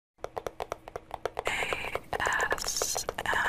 ASMR. Hello guys. Hello.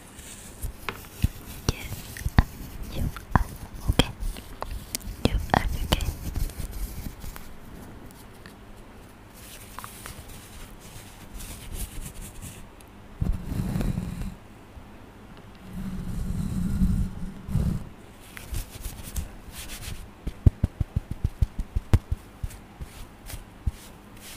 You okay. You are okay. You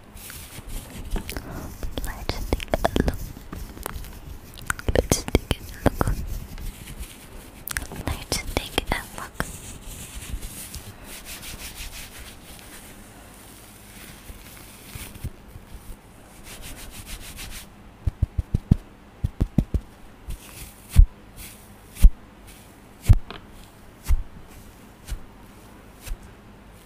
Let's take a look. Let's take a look. Let's take a look.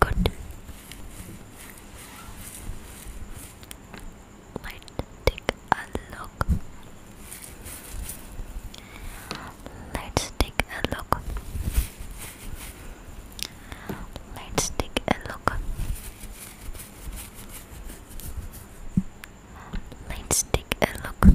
Good. Good. Let's take a look. Let's take a look. Let's take a look. Let's take a look.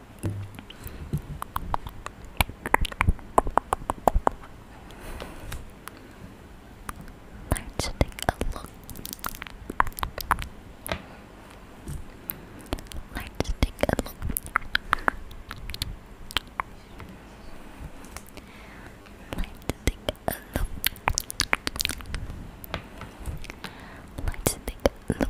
Let's take a look. Let's take a look. Let's take a look. Let's take a look.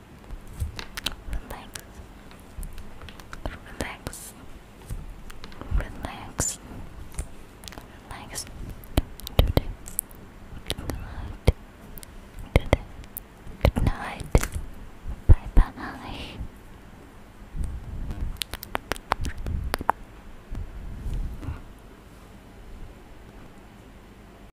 Relax. Relax. Relax. Relax. Today. Good night. Today. Good night. Bye bye.